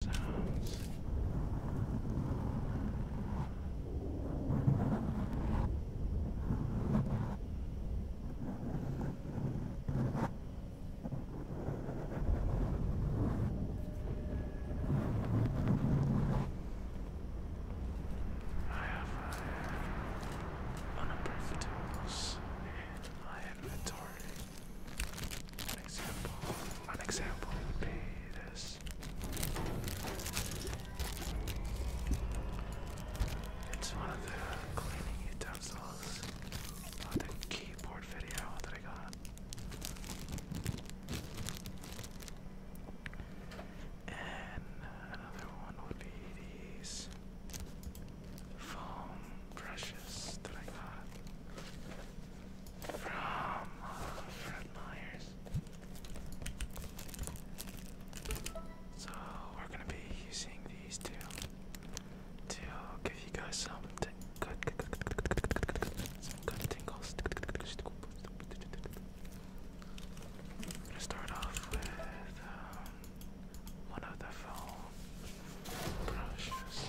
sounds. I have uh, unappropriate tools an example, an example would be this. It's one of the cleaning utensils of the I got. And another one would be these foam brushes that I got from uh, Fred Myers. So we're gonna be using these two to give you guys some good, some good tingles. I'm gonna start off with um, one of the foam brushes.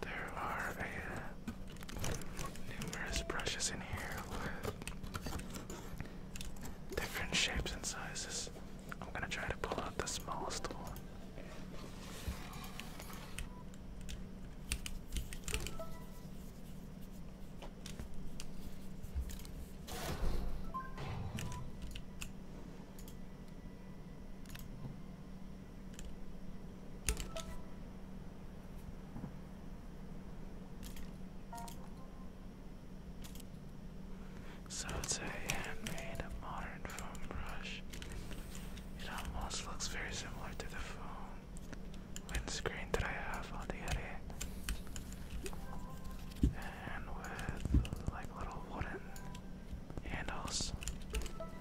there are numerous brushes in here different shapes and sizes. I'm gonna try to pull out the smallest one. So it's a modern foam brush. It almost looks very similar to the foam windscreen that I have on the Yeti. And with like little wooden handles.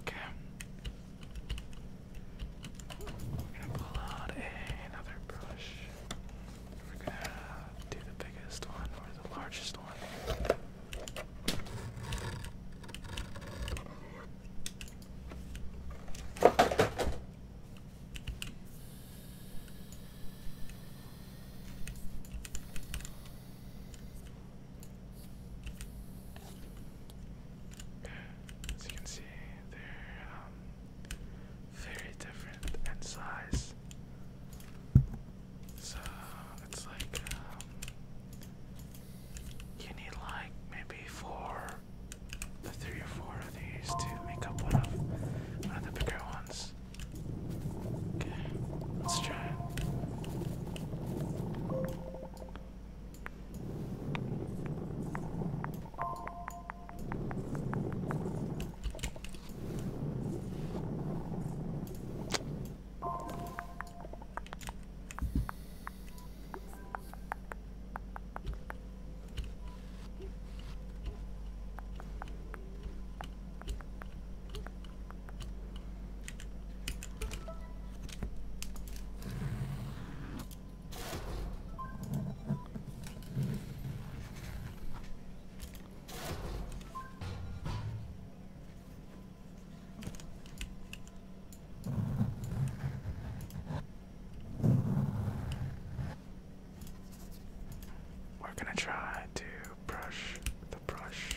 Okay. We're gonna pull out another brush. We're gonna do the biggest one or the largest one. As you can see, they're um, very different in size. So it's like um, you need like maybe four, the three or four of these to make up one of one of the bigger ones. Okay, let's try it. We're going to try to brush the brush.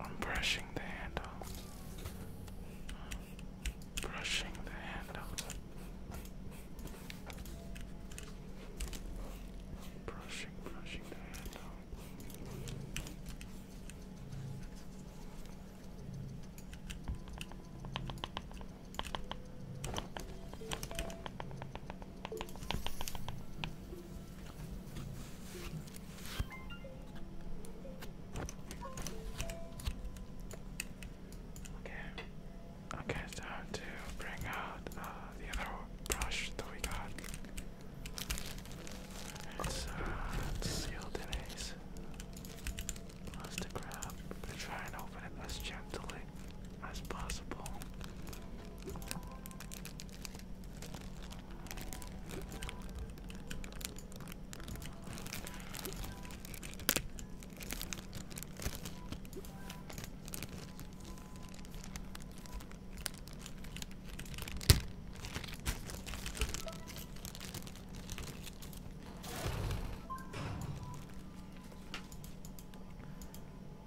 I'm brushing the handle. Brushing the handle. Brushing, brushing the handle. Okay. Okay, time to bring out uh, the other brush that we got. It's, uh, sealed in ace. Plastic wrap. But try and open it as gently that's possible.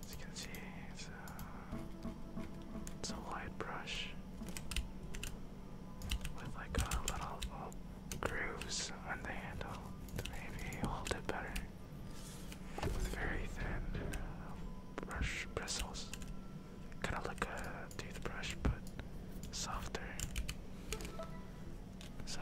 As you can see, it's uh, a, light brush with like a little grooves on the handle to maybe hold it better. With very thin uh, brush bristles, kind of like a toothbrush but softer. So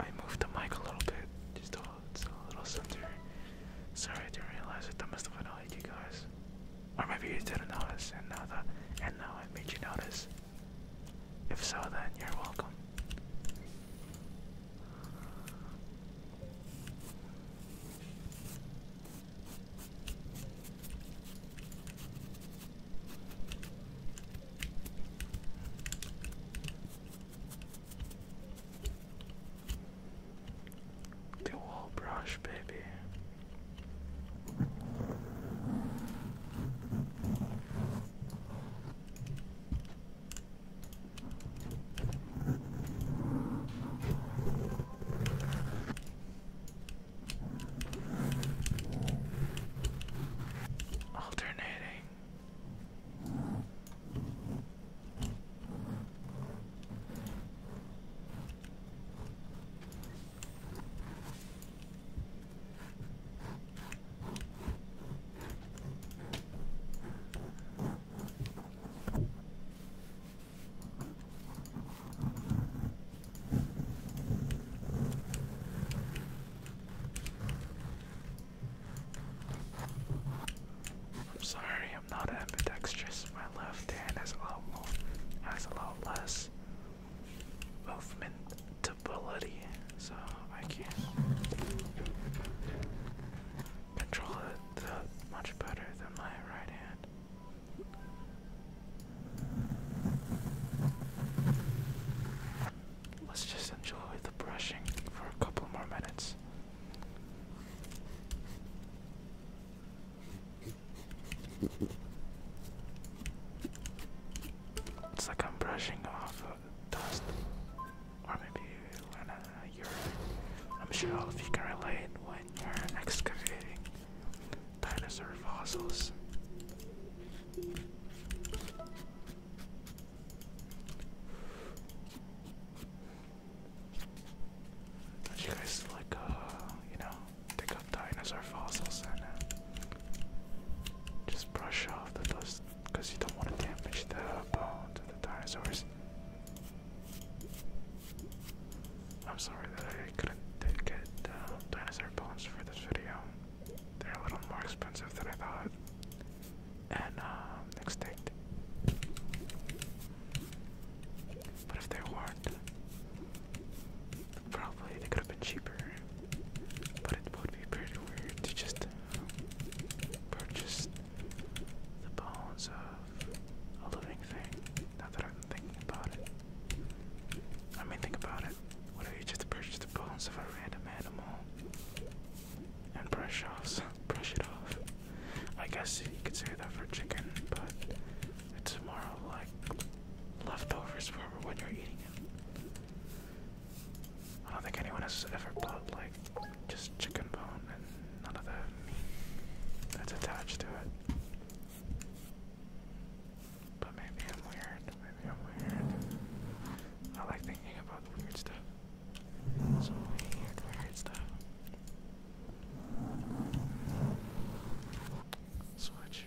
I moved the mic a little bit, just a, little center. Sorry, I didn't realize it. That must have annoyed you guys, or maybe you didn't notice, and now that and now I made you notice. If so, then you're welcome. The wall brush, baby. Alternating. I'm sorry, I'm not ambidextrous. My left hand has a lot more, has a lot less movement stability, so I can control it much better than my right hand. Let's just enjoy the brushing for a couple more minutes. It's like I'm brushing off dust. Or maybe when you're, I'm sure all of you can relate, when you're excavating dinosaur fossils. Don't you guys like, uh, you know, dig up dinosaur fossils and uh, just brush off the dust because you don't want to damage the bones of the dinosaurs. I'm sorry that I couldn't get uh, dinosaur bones for this video. They're a little more expensive than I thought. And um, extinct. But if they weren't, Probably they could have been cheaper, but it would be pretty weird to just uh, purchase the bones of a living thing. Now that I'm thinking about it, I mean, think about it. What if you just purchase the bones of a random animal and brush off, brush it off? I guess you could say that for chicken, but it's more like leftovers for when you're eating it. I don't think anyone has ever bought like just chicken bone and none of the meat that's attached to it. But maybe I'm weird. Maybe I'm weird. I like thinking about weird stuff. Some weird, weird stuff. Switch.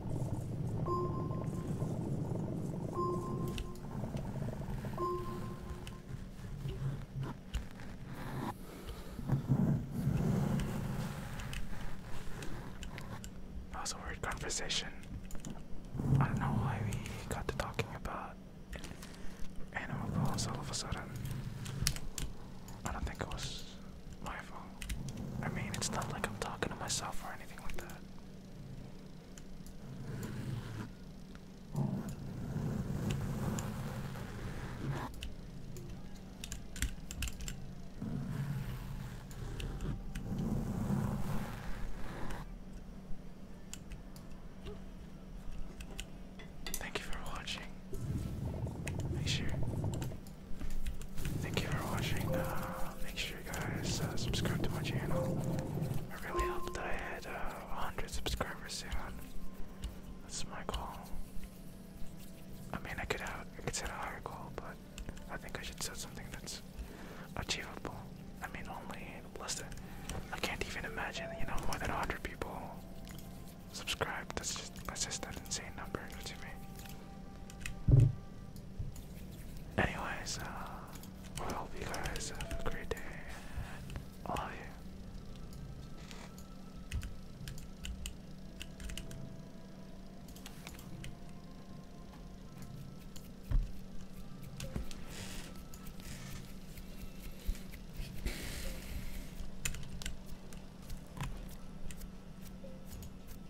That was a weird conversation. I don't know why we got to talking about animal calls all of a sudden. I don't think it was my fault. I mean, it's not like I'm talking to myself or anything like that. Thank you for watching. Make sure Thank you for watching. Uh, make sure you guys uh, subscribe to my channel. I really hope that I had 100 uh, subscribers soon. That's my goal. I mean, I could have, I could set a higher goal, but I think I should set something that's achievable. I mean, only less than. I can't even imagine, you know, more than 100 people subscribe. That's just that's just an insane number to me. Anyways, uh, I hope you guys have a great day, and I you.